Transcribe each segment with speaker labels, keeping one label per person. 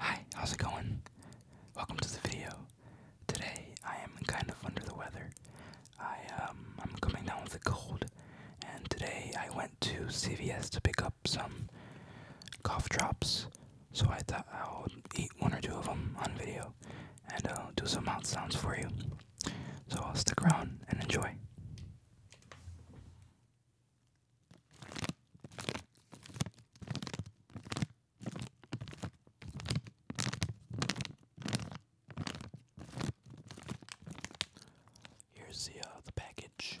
Speaker 1: Hi, how's it going? Welcome to the video. Today I am kind of under the weather. I um, I'm coming down with a cold, and today I went to CVS to pick up some cough drops. So I thought I will eat one or two of them on video, and I'll do some mouth sounds for you. So I'll stick around and enjoy. Here's the uh, the package.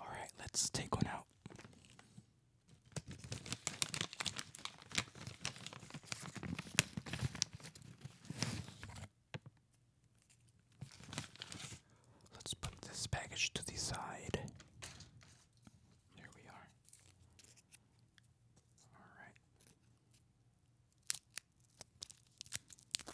Speaker 1: All right, let's take one out. Let's put this package to the side. There we are. All right.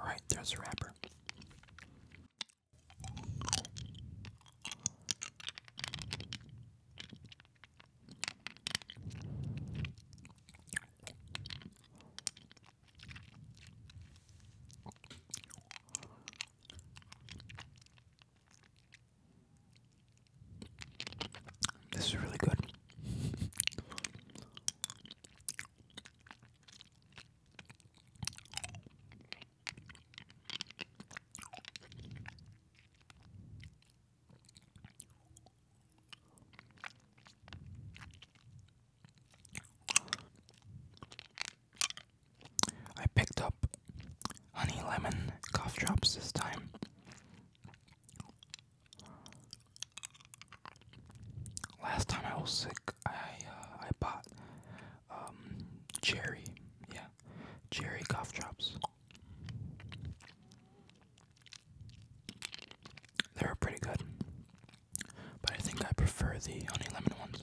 Speaker 1: All right, there's the wrapper. This is really good. I picked up honey lemon cough drops this time. Last time I was sick, I uh, I bought um cherry, yeah, Jerry cough drops. They are pretty good, but I think I prefer the honey lemon ones.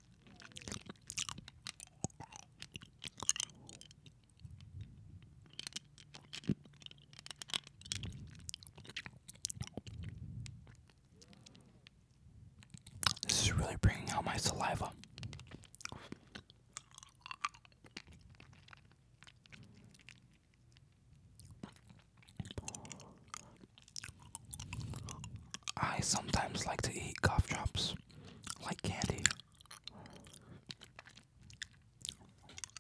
Speaker 1: This is really bringing out my saliva. I sometimes like to eat cough drops like candy.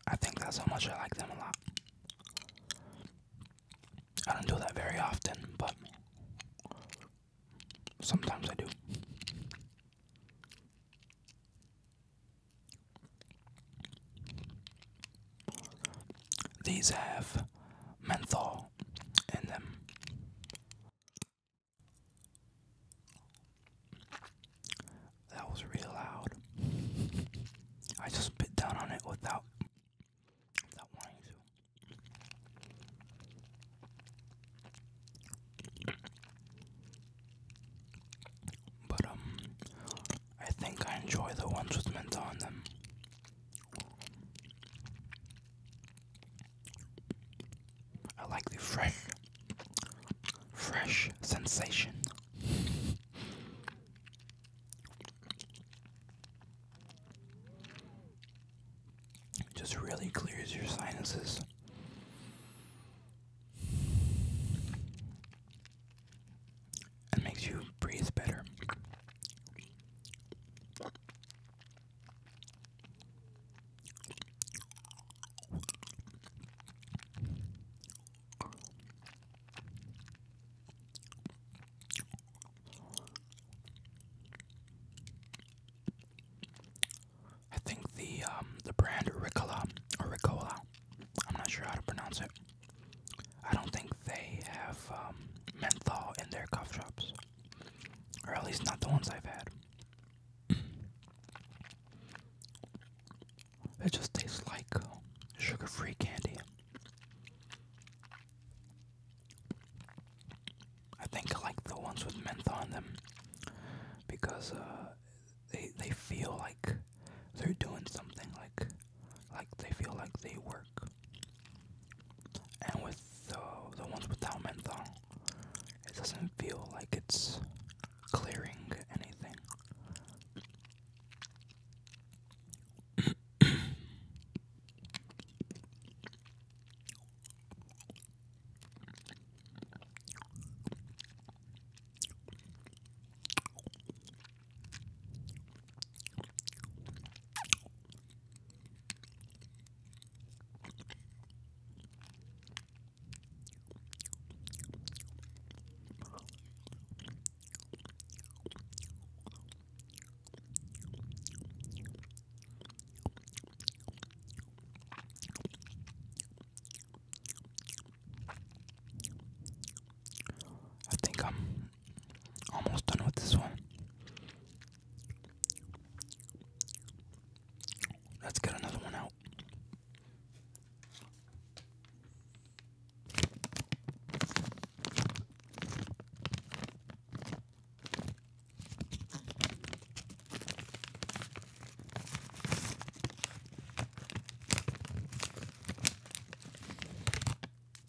Speaker 1: I think that's how much I like them a lot. I don't do that very often, but sometimes I do. These have menthol in them. That was real loud. I just bit down on it without without wanting But um I think I enjoy the ones with mint on them. I like the fresh, fresh sensation. It just really clears your sinuses. And makes you breathe better. I think the um, the brand Ricola Ricola, I'm not sure how to pronounce it. I don't think they have um, menthol in their cough drops. Or at least not the ones I've had. It just tastes like sugar free candy. I think I like the ones with menthol in them because uh, they they feel like they're doing something like like they feel like they work and with the, the ones without menthol, it doesn't feel like it's clearing anything. I think I'm almost done with this one. Let's get another one out.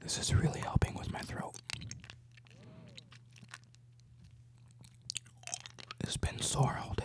Speaker 1: This is really helping with my throat. It's been sore all day.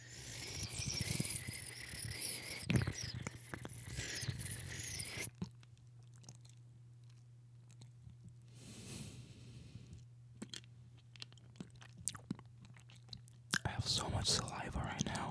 Speaker 1: I have so much saliva right now.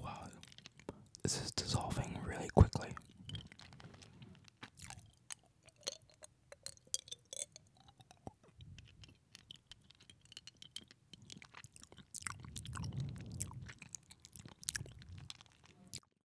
Speaker 1: Wow, this is dissolving really quickly.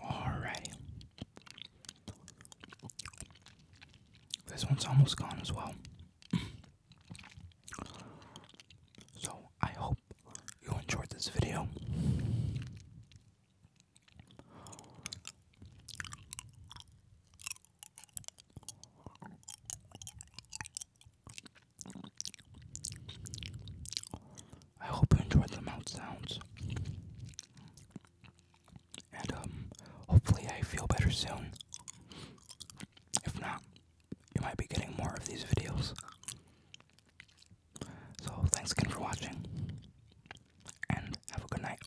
Speaker 1: Alrighty. This one's almost gone as well. so I hope you enjoyed this video. I hope you enjoyed the mouth sounds. And um, hopefully I feel better soon. If not, you might be getting more of these videos. So thanks again for watching. And have a good night.